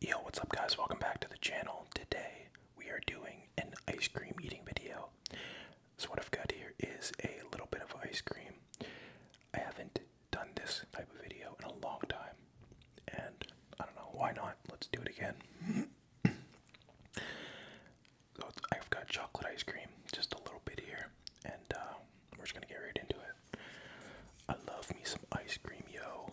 Yo, what's up guys? Welcome back to the channel. Today we are doing an ice cream eating video. So what I've got here is a little bit of ice cream. I haven't done this type of video in a long time. And I don't know, why not? Let's do it again. so I've got chocolate ice cream, just a little bit here, and uh, we're just gonna get right into it. I love me some ice cream, yo.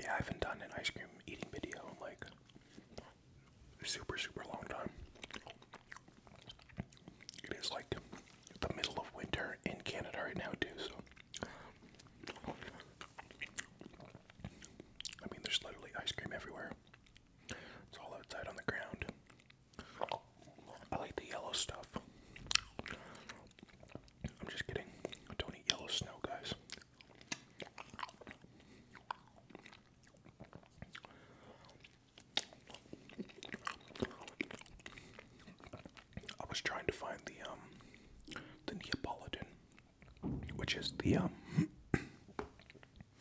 Yeah, I haven't done an ice cream eating video in like super, super long time. It is like the middle of winter in Canada right now, too, so. I mean, there's literally ice cream everywhere. It's all outside on the ground. I like the yellow stuff. I'm just kidding. don't eat yellow snow, guys. I was trying to find the um, the Neapolitan, which is the um the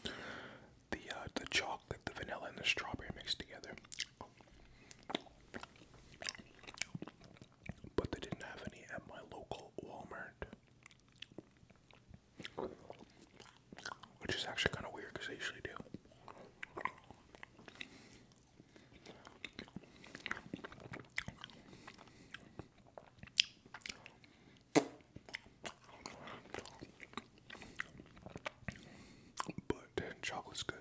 uh, the chocolate, the vanilla, and the strawberry mixed together but they didn't have any at my local Walmart. Which is actually kind of weird because they usually do. But chocolate's good.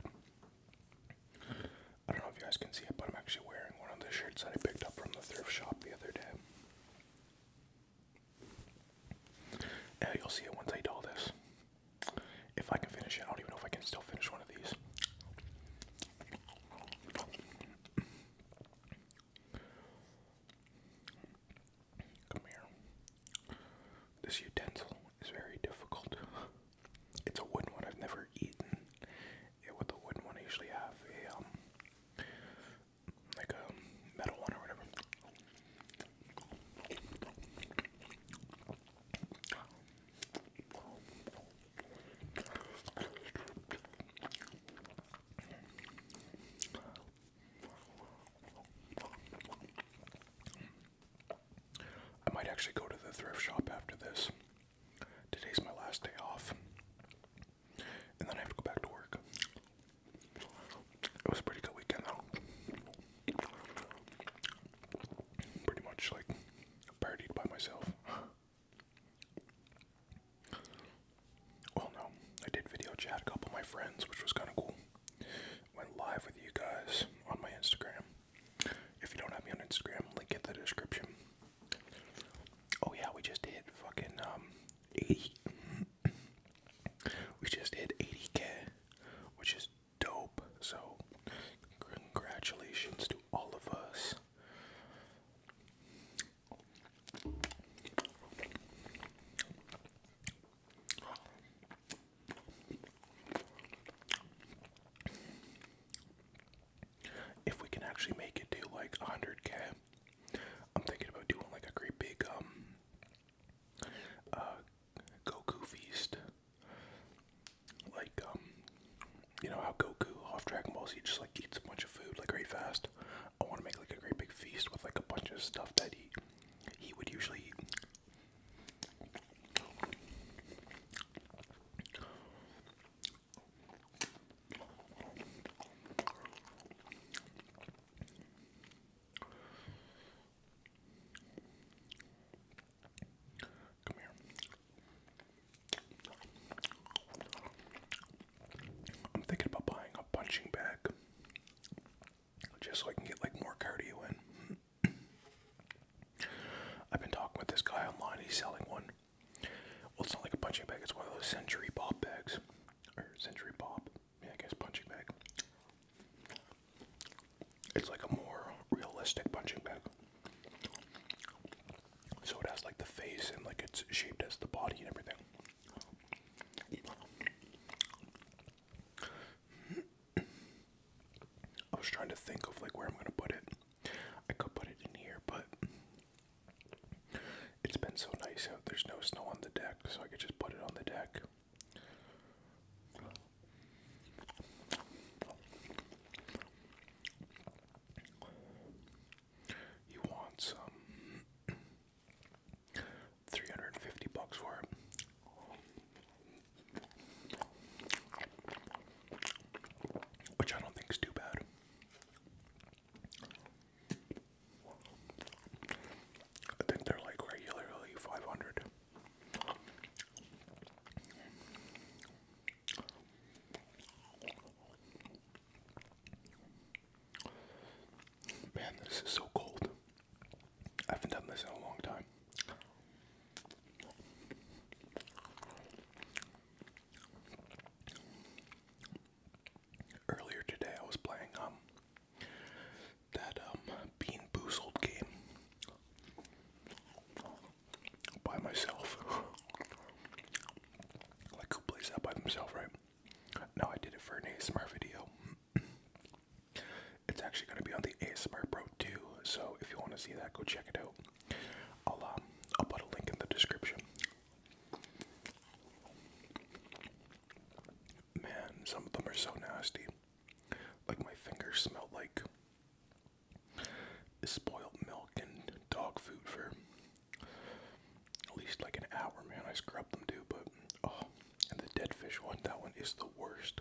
I don't know if you guys can see it, but I'm actually wearing one of the shirts that I picked up from the thrift shop the other day. you'll see it once I do this. If I can finish it, I don't even know if I can still finish one of these. Come here. This utensil is very difficult. It's a wooden one I've never eaten. Yeah, with the wooden one, I usually have a um, like a metal one or whatever. I might actually go to the thrift shop after this Today's my last day off. And then I have to go back to work. It was a pretty good weekend though. Pretty much like partied by myself. Well, no, I did video chat a couple of my friends, which was kind of cool. Went live with you guys on my Instagram. If you don't have me on Instagram, link in the description. Oh yeah, we just hit fucking um, 80. we just hit 80k, which is dope. So congratulations to all of us if we can actually make it to like 100k, I'm thinking about doing like a great big um uh, Goku feast. Like um you know how Goku off Dragon Ball he just like eats a bunch of food like right fast. I want to make like a great big feast with like a bunch of stuff that he he would usually eat. I'm thinking about buying a punching bag just so I can get like more cardio in. I've been talking with this guy online. He's selling one. Well, it's not like a punching bag. It's one of those Century Pop bags, or Century Pop. Yeah, I guess punching bag. It's like a more realistic punching bag. So it has like the face and like it's shaped as the body and everything. I was trying to think of like where I'm gonna put it. I could put it in here, but it's been so nice out. There's no snow on the deck, so I could just put it on the deck. You want some um, 350 bucks for it. Which I don't think is too bad. I think they're like regularly 500. Man, this is so cold. I haven't done this in a long time. Earlier today, I was playing um that um Bean Boozled game by myself. like who plays that by themselves, right? No, I did it for an ASMR video. It's actually going to be on the ASMR Pro too, so if you want to see that, go check it out. I'll um, I'll put a link in the description. Man, some of them are so nasty. Like my fingers smell like spoiled milk and dog food for at least like an hour, man. I scrubbed them too, but oh, and the dead fish one, that one is the worst.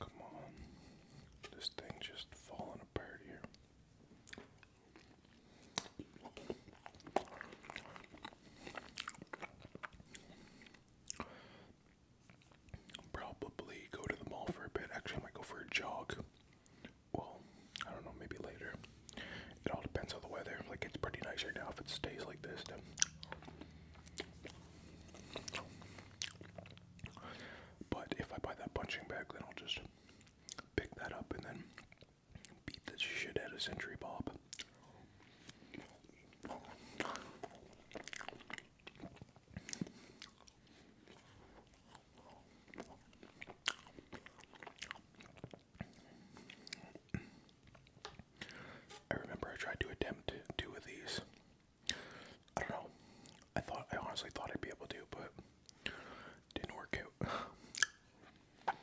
Come on. This thing just falling apart here. Probably go to the mall for a bit. Actually, I might go for a jog. Well, I don't know, maybe later. It all depends on the weather. Like, it's pretty nice right now if it stays like this. But if I buy that punching bag, then I'll just pick that up and then beat the shit out of Century Bob. I remember I tried to attempt two of these I don't know. I thought I honestly thought I'd be able to, but didn't work out.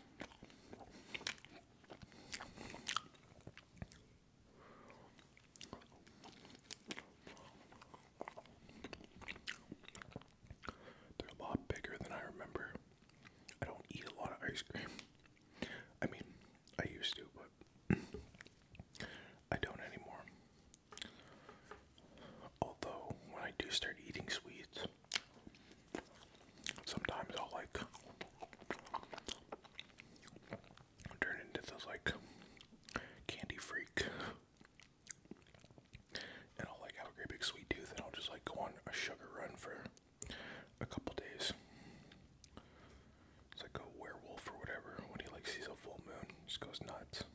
They're a lot bigger than I remember. I don't eat a lot of ice cream. I mean, I used to, but I don't anymore. Although, when I do start eating sweets, sometimes I'll like turn into this like candy freak. And I'll like have a great big sweet tooth and I'll just like go on a sugar run for a couple days. It's like a werewolf or whatever. When he like sees a full moon, just goes nuts.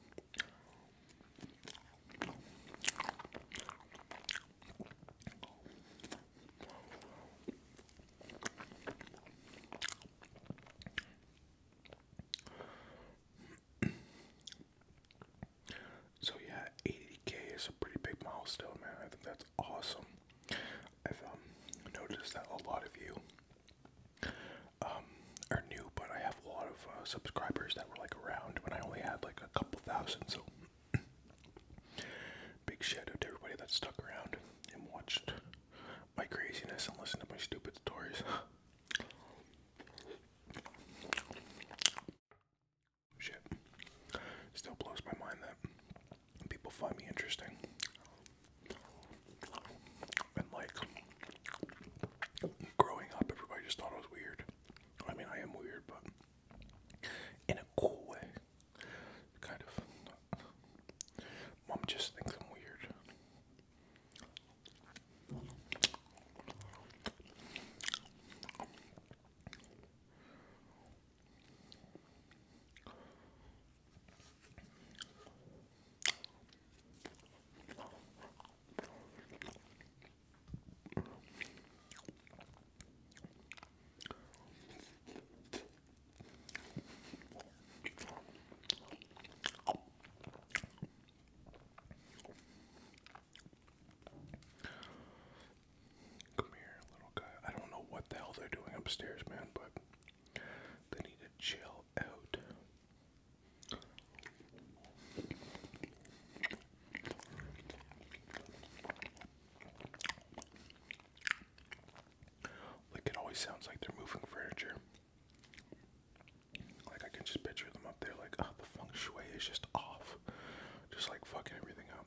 So yeah, 80k is a pretty big milestone, man. I think that's awesome. I've um, noticed that a lot of you um, are new, but I have a lot of uh, subscribers that were like around when I only had like a couple thousand. So big shadow to everybody that stuck around and watched my craziness and listened to my stupid stories. Shit. Still blows my mind that people find me interesting. And like growing up everybody just thought I was weird. I mean I am weird but in a cool way. Kind of Mom just thinks I'm weird. Come here, little guy. I don't know what the hell they're doing upstairs, man, but they need to chill out. Like it always sounds like they're moving furniture. Like I can just picture them up there like, oh, the feng shui is just off. Just like fucking everything up.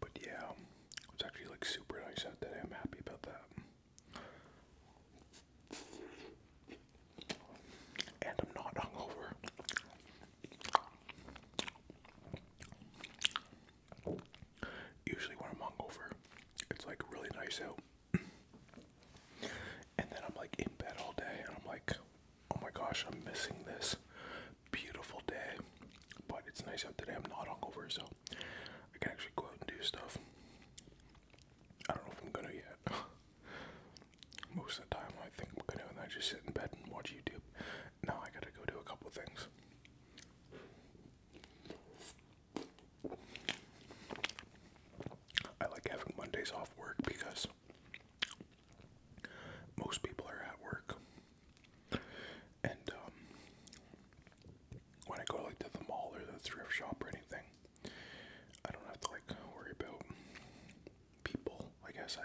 But yeah, it's actually like super nice out today. I'm happy about that. And I'm not hungover. Usually when I'm hungover, it's like really nice out. And then I'm like in bed all day and I'm like, oh my gosh, I'm missing this beautiful day, but it's nice out today. I'm not hungover, so I can actually go out and do stuff. I don't know if I'm gonna yet. Most of the time, I think I'm gonna, and I just sit in bed and watch YouTube. Now I gotta go do a couple things. I like having Mondays off work because most people are at work. And um, when I go like to the mall or the thrift shop or anything, I don't have to like worry about people. I guess I,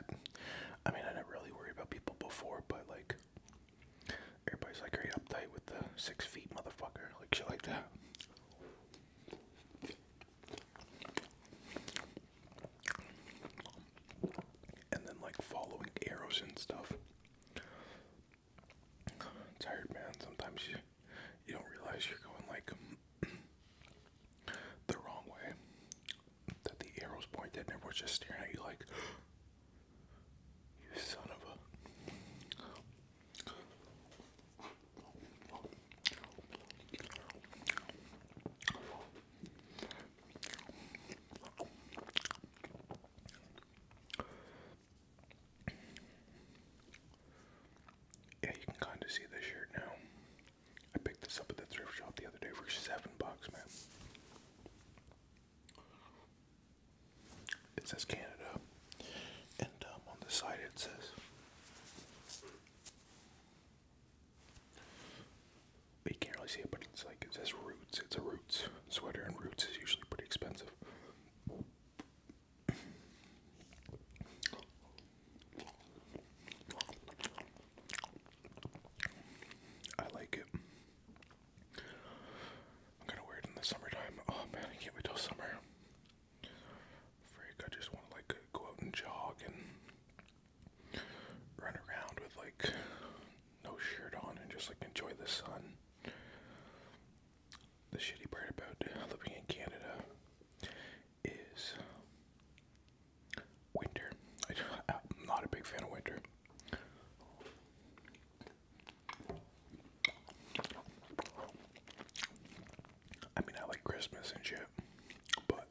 I mean, I didn't really worry about people before, but like everybody's like right uptight with the six feet motherfucker, like shit like that. And then like following arrows and stuff. Tired man, sometimes you you don't realize you're going like the wrong way. That the arrows pointed and everyone's just staring at you like you son of a yeah, you can kind of see this shirt now. I picked this up at the thrift shop the other day for seven bucks, man. It says Canada, and um, on the side it says you can't really see it, but it's like it says Roots. It's a Roots sweater, and Roots is usually pretty expensive. I like it. I'm gonna wear it in the summertime. Oh man, I can't wait till summer. Freak, I just want to like go out and jog and run around with like no shirt on and just like enjoy the sun. The shitty part about living in Canada is winter. I, I'm not a big fan of winter. I mean, I like Christmas and shit, but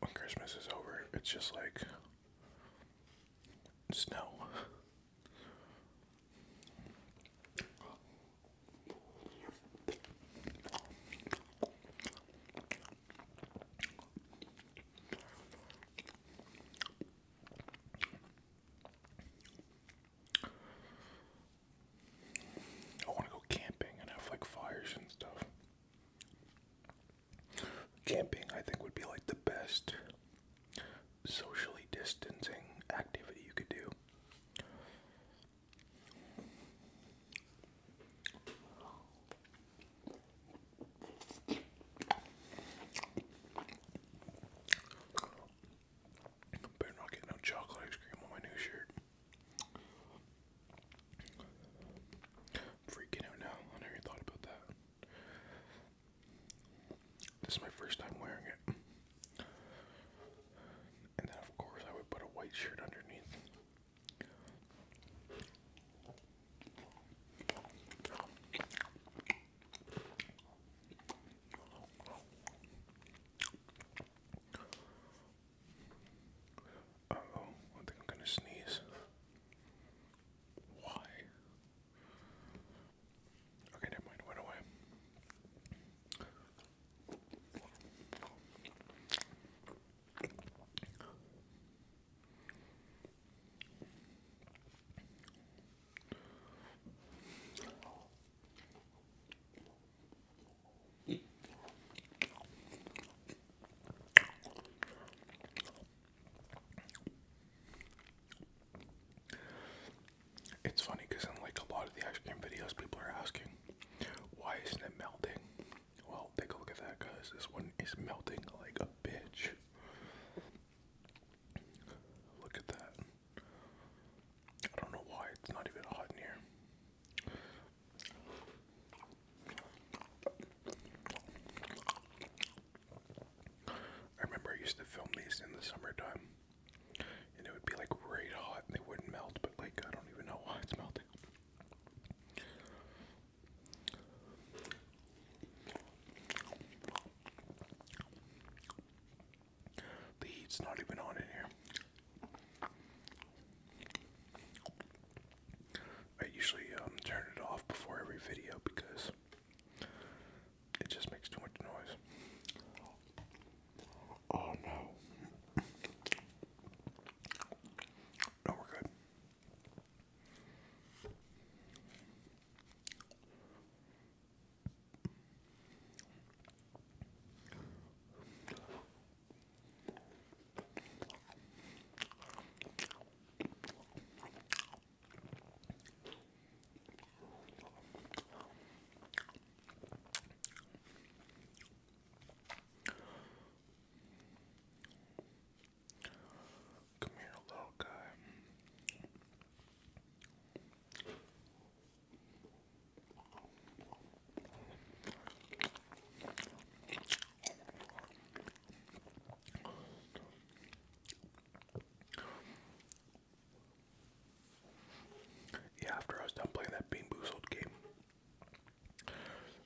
when Christmas is over, it's just like snow. I want to go camping and have like fires and stuff. Camping, I think, would be like the best socially distancing activity you could do. Better not get no chocolate ice cream on my new shirt. freaking out now. never thought about that. This is my first time wearing it. And then, of course, I would put a white shirt underneath. Uh oh, I think I'm gonna sneeze. Why? Okay, never mind, went away. It's funny because in like a lot of the ice cream videos, people are asking, why isn't it melting? Well, take a look at that because this one is melting like a bitch. Look at that. I don't know why it's not even hot in here. I remember I used to film these in the summertime, and it would be like right hot, and they wouldn't melt. But like, I don't even know why it's melting. The heat's not even on in here. I usually um, turn it off before every video because it just makes too much noise. Oh no. No, we're good. Come here, little guy. Yeah, after I was done playing that Bean Boozled game,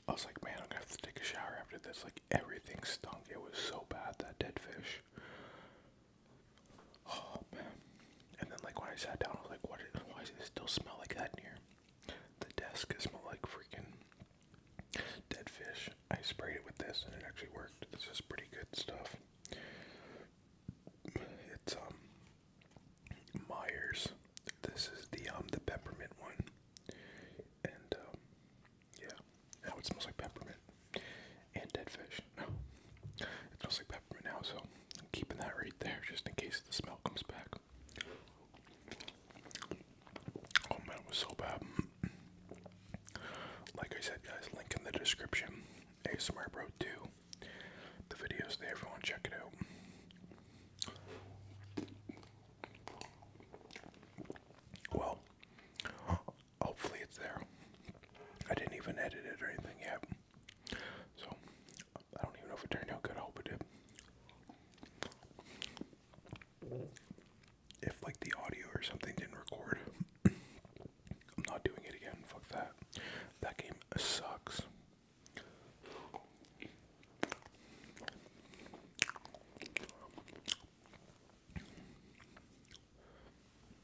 I was like, man, I'm gonna have to take a shower after this. Like, everything stunk. It was so bad, that dead fish. Oh man. And then like when I sat down I was like what is, why does it still smell like that in here? The desk smelled like freaking dead fish. I sprayed it with this and it actually worked. This is pretty good stuff. It's um Myers. This is the um the peppermint one. And um, yeah, now it smells like peppermint and dead fish. No, it smells like peppermint now, so keeping that right there just in case the smell comes back. Oh man, it was so bad. Like I said, guys, link in the description. ASMR Bro 2. The video's there if check it out. Well, hopefully it's there. I didn't even edit it or anything yet. So, I don't even know if it turned out good. I hope it did. If, like, the audio or something didn't record, I'm not doing it again. Fuck that. That game sucks.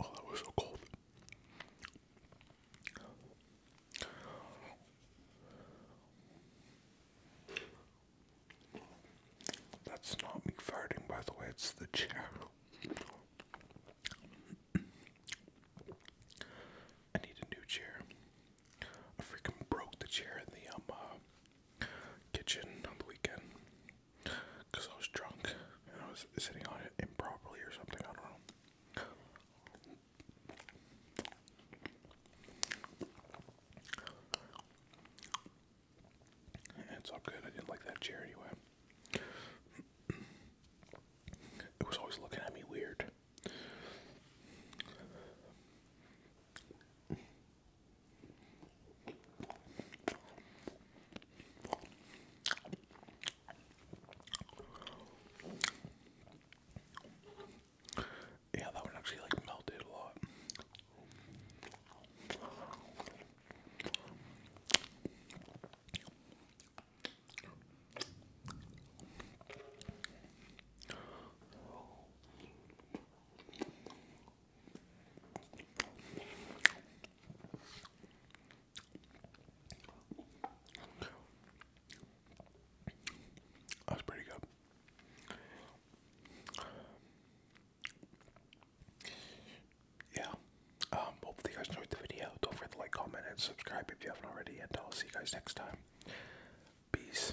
Oh, that was so cold. That's not me farting, by the way, it's the chair. I need a new chair. I freaking broke the chair in the um, uh, kitchen on the weekend because I was drunk and I was sitting on it improperly or something. I don't know. It's all good. I didn't like that chair anyway. It was always looking at me weird. Yeah, that one actually like melted a lot. That pretty good. Yeah. Um, hopefully you guys enjoyed the video. Don't forget to like, comment, and subscribe if you haven't already. And I'll see you guys next time. Peace.